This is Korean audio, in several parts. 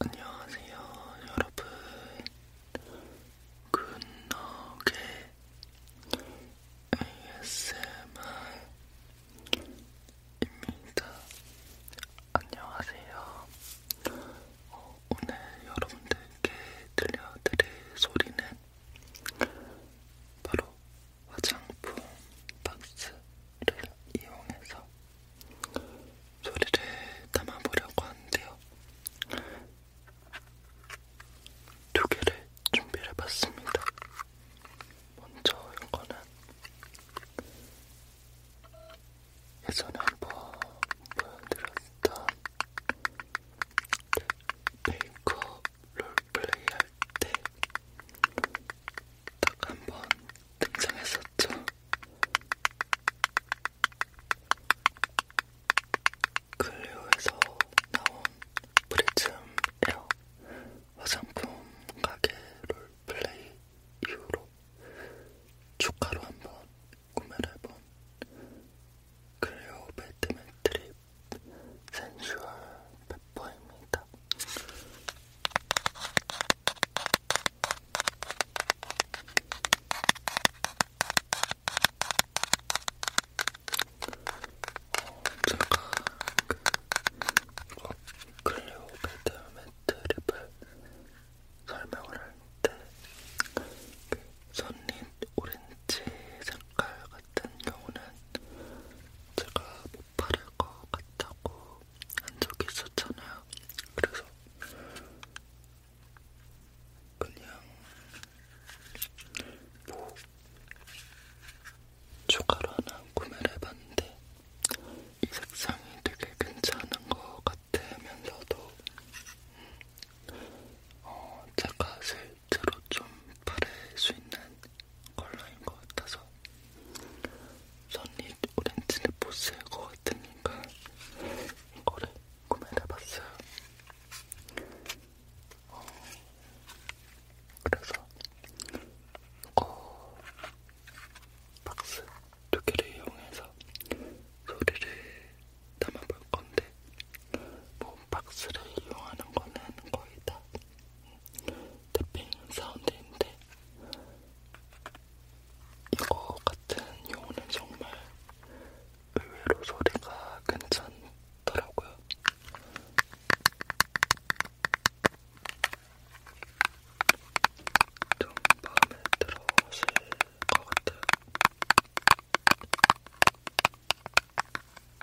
안녕하세요, 여러분. 굿노게 ASMR입니다. 안녕하세요. 어, 오늘 여러분들께 들려드릴 소리는 바로 화장품 박스를 이용해서 소리를 담아보려고 하는데요. 두 개를 준비를 해봤습니다. 먼저 이거는 예전에 한번 보여드렸던 메이크업 그 롤플레이 할 때딱한번 등장했었죠. 클리오에서 나온 프리즘 에어 화장품 가게 롤플레이 이후로 축가로 한 번 구매를 해본 클리오 배트맨 트립 센슈얼 보입니다. 제가 그 클리오 베드 매트 립을 설명을 할때 그 선린 오렌지 색깔 같은 경우는 제가 뭐 바를 것 같다고 한 적이 있었잖아요. 그래서 그냥 뭐 추가로 하나 구매를 해봤는데 이 색상이 되게 괜찮은 것 같으면서도 어, 제가 사실 실제로 좀 바를 수 있는 컬러인 것 같아서 선릿 오렌지를 못쓸것 같으니까 이거를 구매를 해봤어요. 어, 그래서 어, 박스 두 개를 이용해서 소리를 담아볼 건데 뭐 박스를 이용하는 거는 거의 다 탭핑 사운드인데 이거 같은 용어는 정말 의외로 소리가 괜찮더라고요. 좀 마음에 들어오실 것 같아요.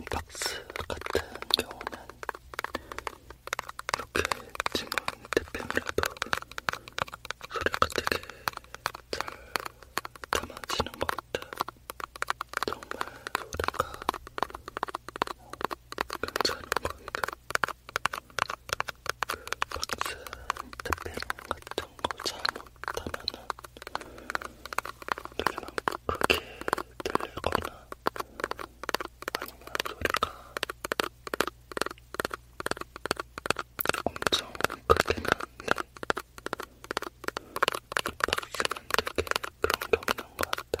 이 박스 같은 경우는 이렇게 지문 대표이라도 소리가 되게 잘 담아지는 것 같아요. 정말 소리가 괜찮은 것 같아요. 그 박스 태핑 같은 거 잘못하면은 소리가 크게 들리거나 아니면 소리가 엄청 크게 나는데 이 박스는 되게 그런 게 없는 것 같아.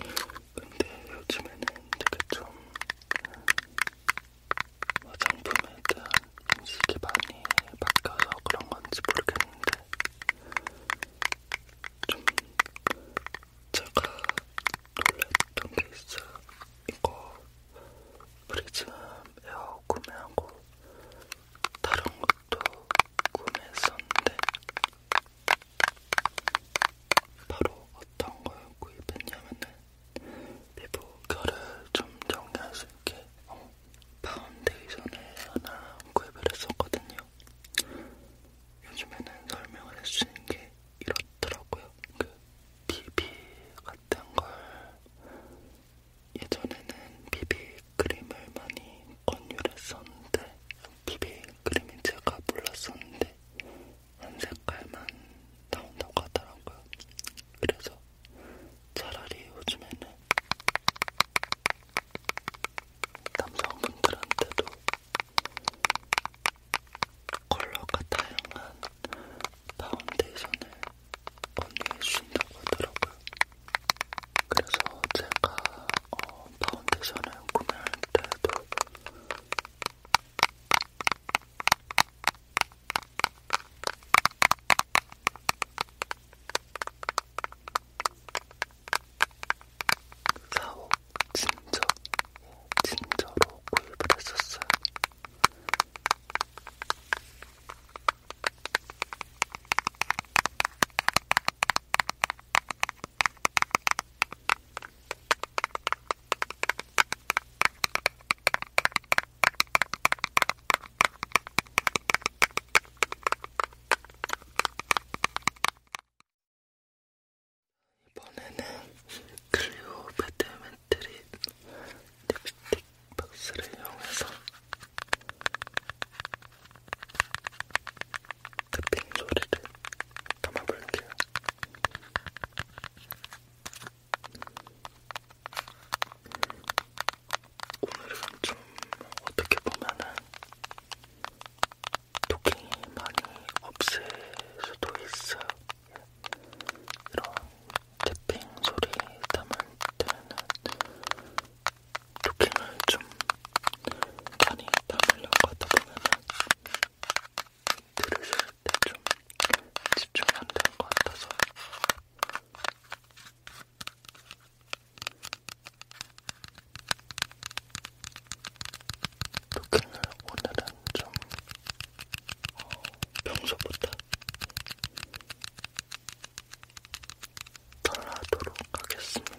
근데 요즘에는 되게 좀 화장품에 대한 인식이 많이 바뀌어서 그런 건지 모르겠는데 좀 제가 놀랬던 게 있어요. 이거 프리즘 에어 구매하고 다른 것도 구매했었는데 바로 어떤 걸 구입했냐면은 피부 결을 좀 정리할 수 있게 어, 파운데이션을 하나 구입을 했었거든요. 요즘에는 설명을 해주시는 게 이렇더라고요. 그 비비 같은 걸 예전에는 비비 크림을 많이 권유를 했었는데 비비 크림인 제가 몰랐었는데 한 색깔만 나온다고 하더라고요. 그래서 차라리 요즘에는 남성분들한테도 컬러가 다양한 파운데이션을 권유해주신다고 하더라고요. 그래서 제가 어, 파운데이션을 구매할 때도 사옥 진저 진저로 구입을 했었어요. 이번에는 클리오 배틀맨트리 립스틱 박스를 이용해서 탭핑 소리를 담아볼게요. 오늘은 좀 어떻게 보면은 토킹이 많이 없을 수도 있어요. 이런 탭핑 소리 담을 때는 토킹을 좀 많이 담으려고 하다 보면은 들으실 때 좀 집중 안될것 같아서 토킹을 오늘은 좀 어, 평소보다 덜 하도록 하겠습니다.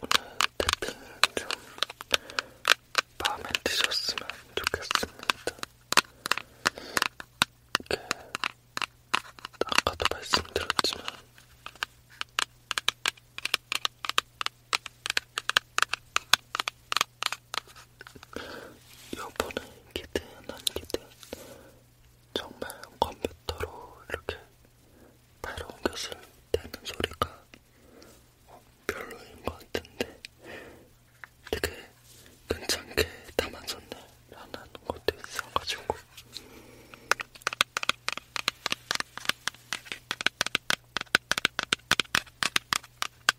오늘 태핑은 좀 마음에 드셨으면 좋겠습니다. 이게 아까도 말씀드렸지만 여보는기든 아니기든 정말 컴퓨터로 이렇게 팔을 옮겼을 때는 소리가 어, 별로인 것 같은데 되게 괜찮게 담아졌네 라는 것도 있어가지고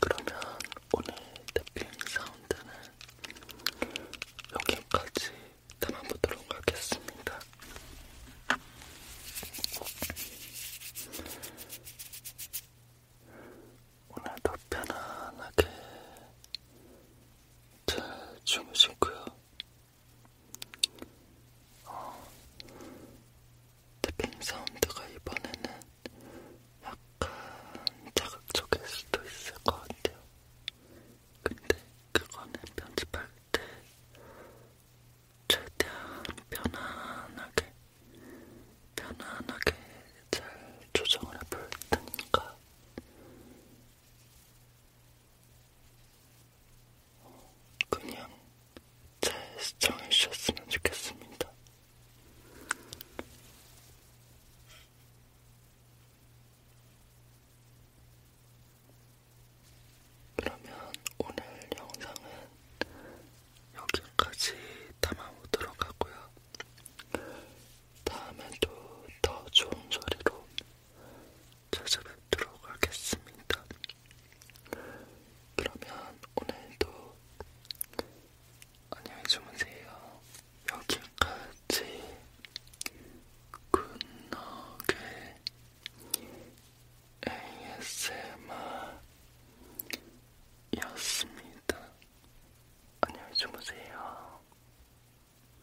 그러면 오늘 탭핑 사운드는 여기까지 담아보도록 하겠습니다. 오늘도 편안하게 잘 주무시고요. 어, 탭핑 사운드가 이번에는 약간 자극적일 수도 있을 것 같아요. 근데 그거는 편집할 때 최대한 편안하게, 편안하게 잘 조정을 해볼 테니까 그냥 잘 시청해주셨으면 좋겠습니다. 그러면 오늘 영상은 여기까지 담아보도록 하고요. 다음에도 더 좋은 소리로 찾아뵙도록 하겠습니다. 그러면 오늘도 안녕히 주무세요. 여기까지 굿너겟 ASMR였습니다. 안녕히 주무세요.